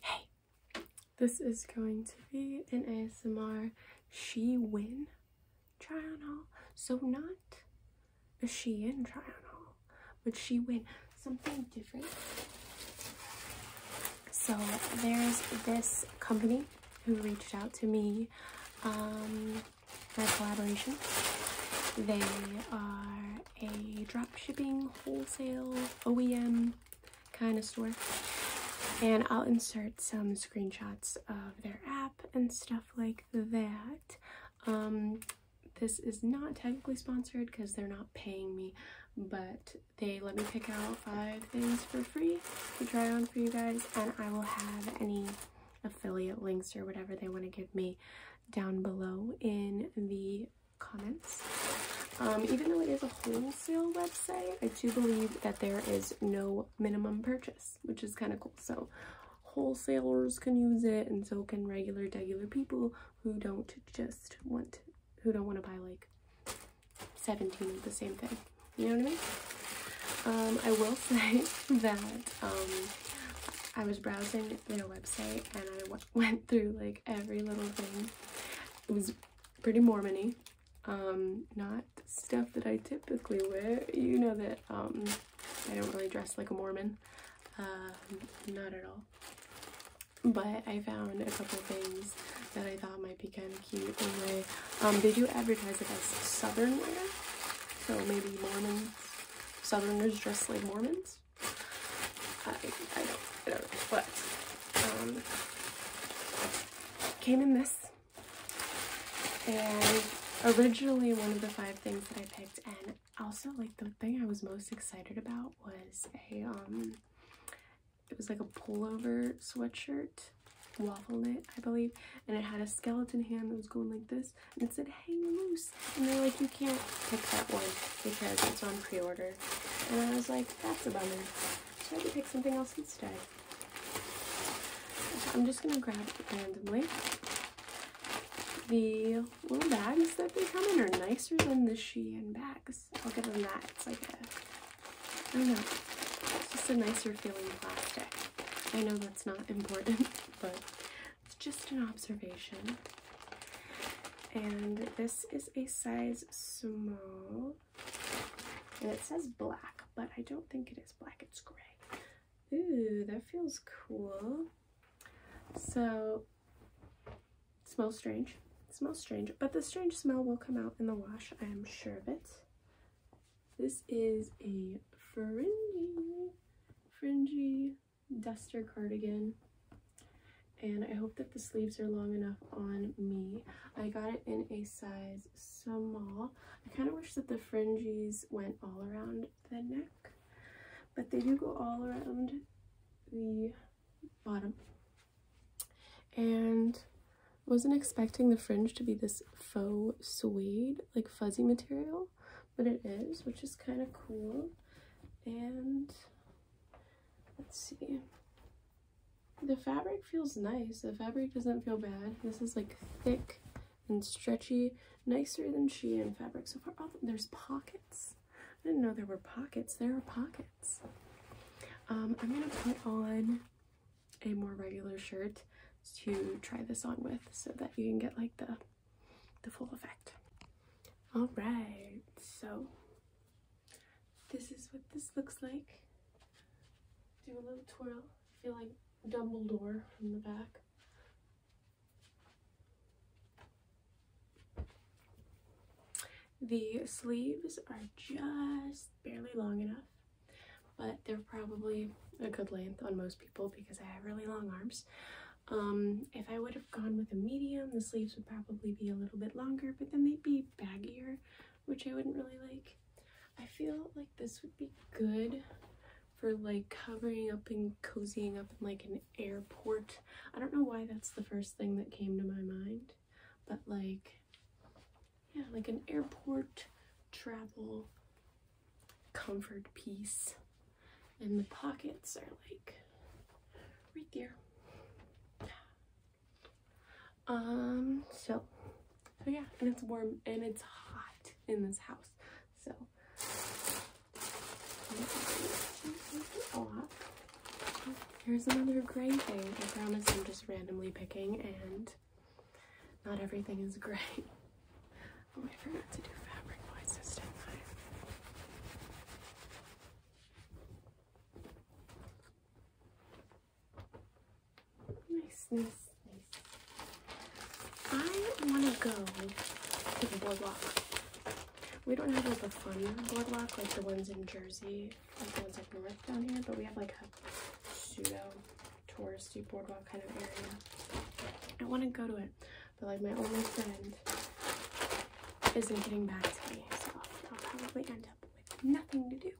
Hey, this is going to be an ASMR she win try on haul. So not a she in try on haul, but she win something different. So there's this company who reached out to me um, for collaboration. They are a drop shipping wholesale OEM kind of store, and I'll insert some screenshots of their app and stuff like that. Um, this is not technically sponsored because they're not paying me, but they let me pick out five things for free to try on for you guys, and I will have any affiliate links or whatever they want to give me down below in the comments. Um, even though it is a wholesale website, I do believe that there is no minimum purchase, which is kind of cool. So wholesalers can use it and so can regular, regular people who don't just want, who don't want to buy like 17 of the same thing. You know what I mean? Um, I will say that um, I was browsing in a website and I went through like every little thing. It was pretty Mormony. Um, not stuff that I typically wear. You know that um, I don't really dress like a Mormon. Um, not at all. But I found a couple things that I thought might be kind of cute anyway. Um, they do advertise it as Southern wear, so maybe Mormons, Southerners dress like Mormons. I, I don't, I don't know, but, um, came in this, and originally one of the five things that I picked, and also, like, the thing I was most excited about was a, um, it was like a pullover sweatshirt, waffle knit, I believe, and it had a skeleton hand that was going like this, was and said hang loose and they're like you can't pick that one because it's on pre-order and I was like that's a bummer so I had to pick something else instead I'm just gonna grab randomly the little bags that they come in are nicer than the Shein bags I'll give them that it's like a I don't know it's just a nicer feeling plastic I know that's not important but it's just an observation. And this is a size small. And it says black, but I don't think it is black, it's gray. Ooh, that feels cool. So, smells strange. smells strange, but the strange smell will come out in the wash, I am sure of it. This is a fringy, fringy duster cardigan and I hope that the sleeves are long enough on me. I got it in a size small. I kind of wish that the fringes went all around the neck, but they do go all around the bottom. And wasn't expecting the fringe to be this faux suede, like fuzzy material, but it is, which is kind of cool. And let's see. The fabric feels nice. The fabric doesn't feel bad. This is like thick and stretchy, nicer than Shein fabric so far. Oh, there's pockets. I didn't know there were pockets. There are pockets. Um, I'm going to put on a more regular shirt to try this on with so that you can get like the the full effect. All right, so this is what this looks like. Do a little twirl. feel like Dumbledore from the back. The sleeves are just barely long enough, but they're probably a good length on most people because I have really long arms. Um, if I would have gone with a medium, the sleeves would probably be a little bit longer, but then they'd be baggier, which I wouldn't really like. I feel like this would be good for like covering up and cozying up in like an airport. I don't know why that's the first thing that came to my mind, but like, yeah, like an airport travel comfort piece. And the pockets are like right there. Um, so, so yeah, and it's warm and it's hot in this house. So, Here's another gray thing. I promise I'm just randomly picking and not everything is gray. Oh, I forgot to do fabric voices, did Nice, nice, nice. I want to go to the boardwalk. We don't have like a fun boardwalk like the ones in Jersey, like the ones like north down here, but we have like a pseudo touristy boardwalk kind of area. I want to go to it, but like my only friend isn't getting back to me, so I'll probably end up with nothing to do.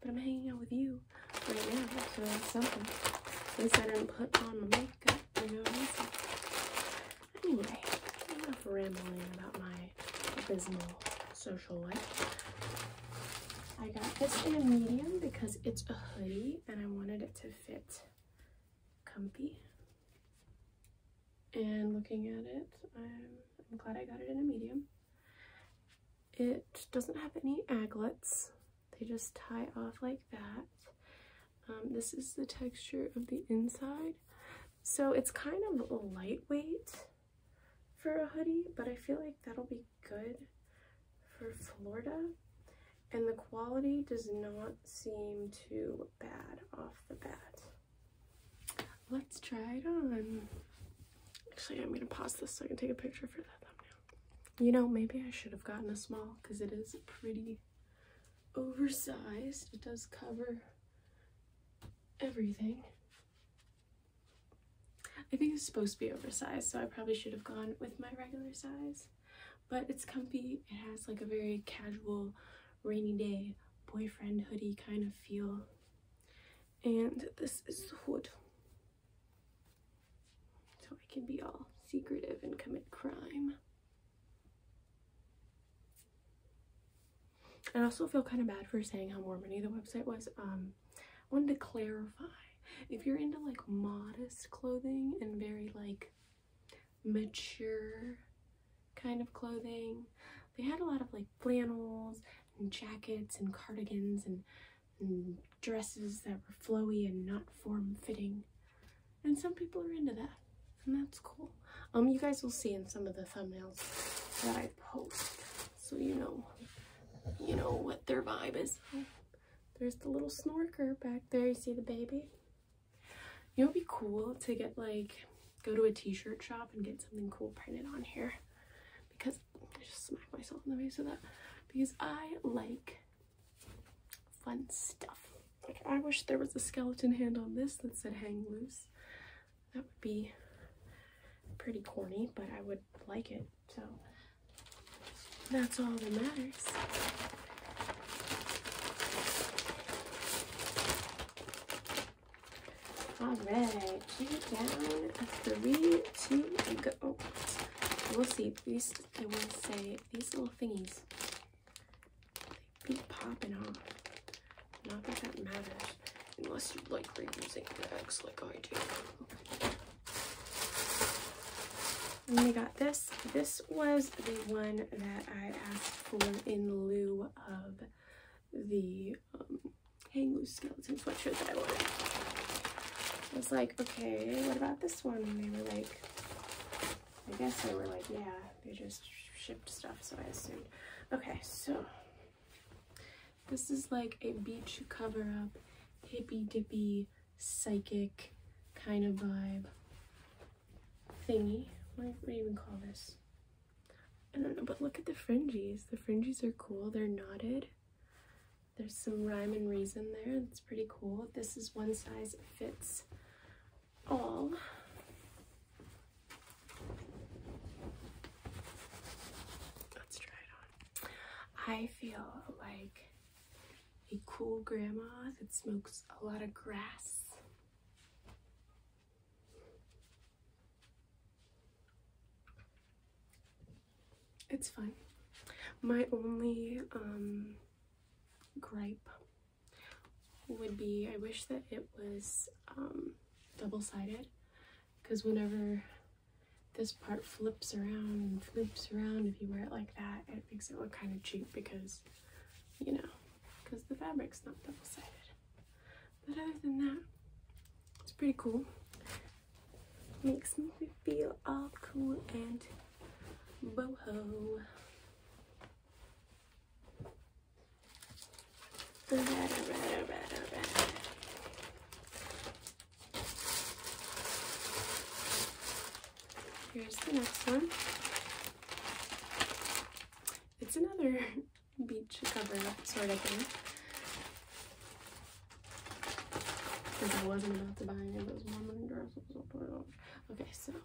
But I'm hanging out with you right now, so that's something. At least I didn't put on my makeup, you know what I'm Anyway, enough rambling about my abysmal social life. I got this in a medium because it's a hoodie and I wanted it to fit comfy. And looking at it, I'm, I'm glad I got it in a medium. It doesn't have any aglets. They just tie off like that. Um, this is the texture of the inside. So it's kind of lightweight for a hoodie, but I feel like that'll be good for Florida and the quality does not seem too bad off the bat. Let's try it on. Actually, I'm gonna pause this so I can take a picture for that thumbnail. You know, maybe I should have gotten a small because it is pretty oversized. It does cover everything. I think it's supposed to be oversized, so I probably should have gone with my regular size. But it's comfy. It has like a very casual, rainy day, boyfriend hoodie kind of feel. And this is the hood. So I can be all secretive and commit crime. I also feel kind of bad for saying how warm Mormony the website was. Um, wanted to clarify if you're into like modest clothing and very like mature kind of clothing they had a lot of like flannels and jackets and cardigans and, dresses that were flowy and not form-fitting and some people are into that and that's cool um you guys will see in some of the thumbnails that i post so you know you know what their vibe is there's the little snorker back there. You see the baby? You know, it'd be cool to get like, go to a t-shirt shop and get something cool printed on here because I just smack myself in the face with that because I like fun stuff. Like I wish there was a skeleton hand on this that said hang loose. That would be pretty corny, but I would like it. So that's all that matters. Alright, she down three, two, go. we'll see. These, I want to say, these little thingies, they keep popping off. Not that that matters, unless you like reusing eggs, like I do. And we got this. This was the one that I asked for in lieu of the um, hang loose skeleton sweatshirt that I ordered. I was like, okay, what about this one? And they were like, I guess they were like, yeah, they just shipped stuff, so I assumed. Okay, so this is like a beach cover up, hippy dippy, psychic kind of vibe thingy. What, do you even call this? I don't know, but look at the fringes. The fringes are cool, they're knotted. There's some rhyme and reason there. It's pretty cool. This is one size fits all. Let's try it on. I feel like a cool grandma that smokes a lot of grass. It's fine. My only um, gripe would be I wish that it was um, double sided because whenever this part flips around and flips around if you wear it like that it makes it look kind of cheap because you know because the fabric's not double-sided but other than that it's pretty cool makes me feel all cool and boho Here's the next one. It's another beach cover sort of thing. I wasn't about to buy any of those Mormon dresses. Okay, so. I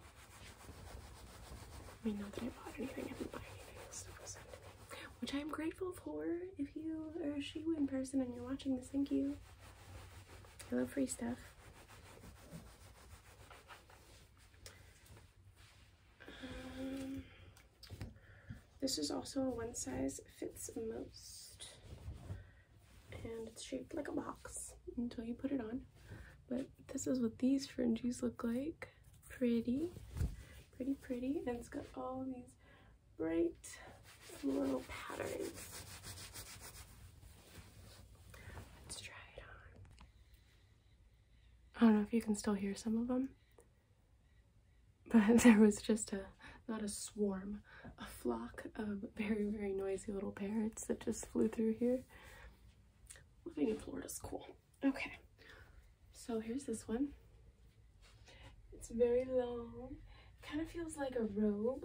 mean, not that I bought anything. I didn't buy anything. Stuff was sent to me which I'm grateful for. If you are a in person and you're watching this, thank you. I love free stuff. Um, this is also a one size fits most, and it's shaped like a box until you put it on. But this is what these fringes look like. Pretty, pretty, pretty, and it's got all these bright little patterns. Let's try it on. I don't know if you can still hear some of them, but there was just a, not a swarm, a flock of very, very noisy little parrots that just flew through here. Living in Florida is cool. Okay, so here's this one. It's very long. Kind of feels like a robe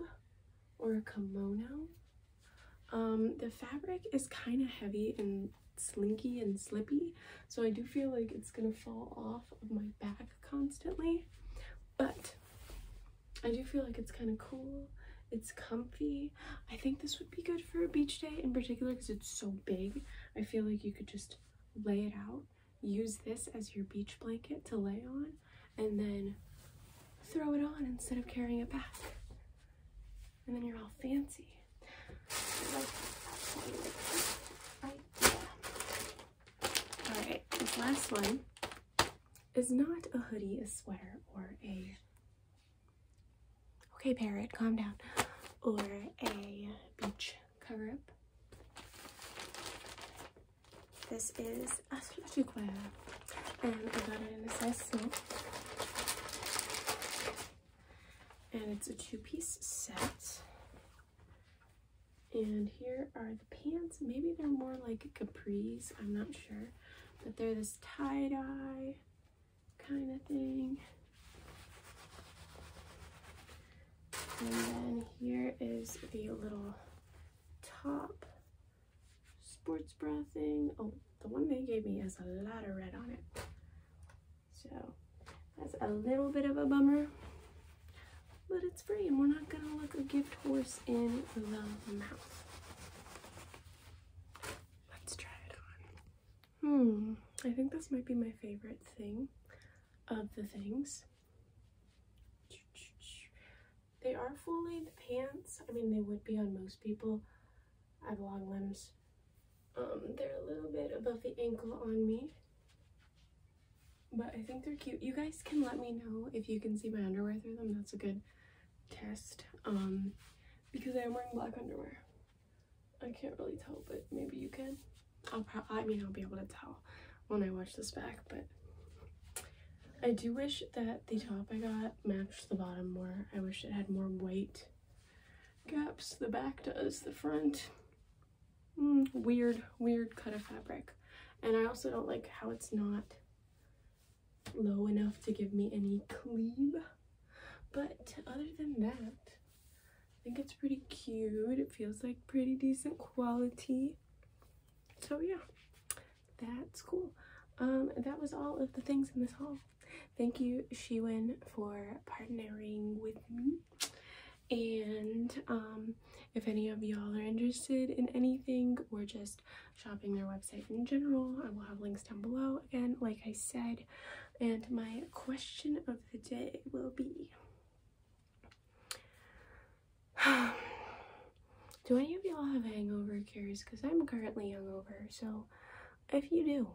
or a kimono. Um, the fabric is kind of heavy and slinky and slippy, so I do feel like it's gonna fall off of my back constantly, but I do feel like it's kind of cool. It's comfy. I think this would be good for a beach day in particular because it's so big. I feel like you could just lay it out, use this as your beach blanket to lay on, and then throw it on instead of carrying it back. And then you're all fancy. Alright, this last one is not a hoodie, a sweater, or a. Okay, parrot, calm down. Or a beach cover up. This is Athletic Wear. Um, I got it in a size small. And it's a two-piece set. And here are the pants. Maybe they're more like capris, I'm not sure. But they're this tie-dye kind of thing. And then here is the little top sports bra thing. Oh, the one they gave me has a lot of red on it. So that's a little bit of a bummer, but it's free and we're not gonna look a gift horse in the mouth. Let's try it on. Hmm, I think this might be my favorite thing of the things. They are full length pants. I mean, they would be on most people. I have long limbs. Um, they're a little bit above the ankle on me. But I think they're cute. You guys can let me know if you can see my underwear through them. That's a good test. Um, because I am wearing black underwear. I can't really tell, but maybe you can. I'll I mean, I'll be able to tell when I watch this back, but I do wish that the top I got matched the bottom more. I wish it had more white gaps. The back does, the front. Mm, weird, weird cut of fabric. And I also don't like how it's not low enough to give me any cleave. But other than that, I think it's pretty cute. It feels like pretty decent quality. So yeah, that's cool. Um, that was all of the things in this haul. Thank you, Shiwin, for partnering with me. And um, if any of y'all are interested in anything or just shopping their website in general, I will have links down below. Again, like I said, and my question of the day will be Do any of y'all have hangover cures? Because I'm currently hungover. So if you do,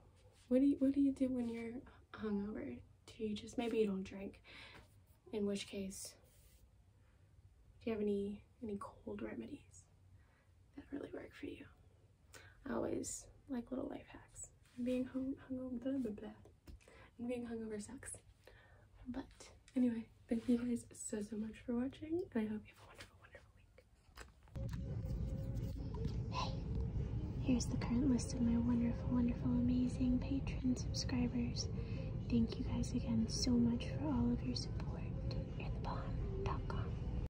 what do you, what do you do when you're hungover? Do you just, maybe you don't drink, in which case, do you have any, any cold remedies? that really work for you. I always like little life hacks. And being hungover, blah, blah, And being hungover sucks. But anyway, thank you guys so, so much for watching. I hope you have a wonderful, wonderful week. Hey, here's the current list of my wonderful, wonderful, amazing patron subscribers. Thank you guys again so much for all of your support.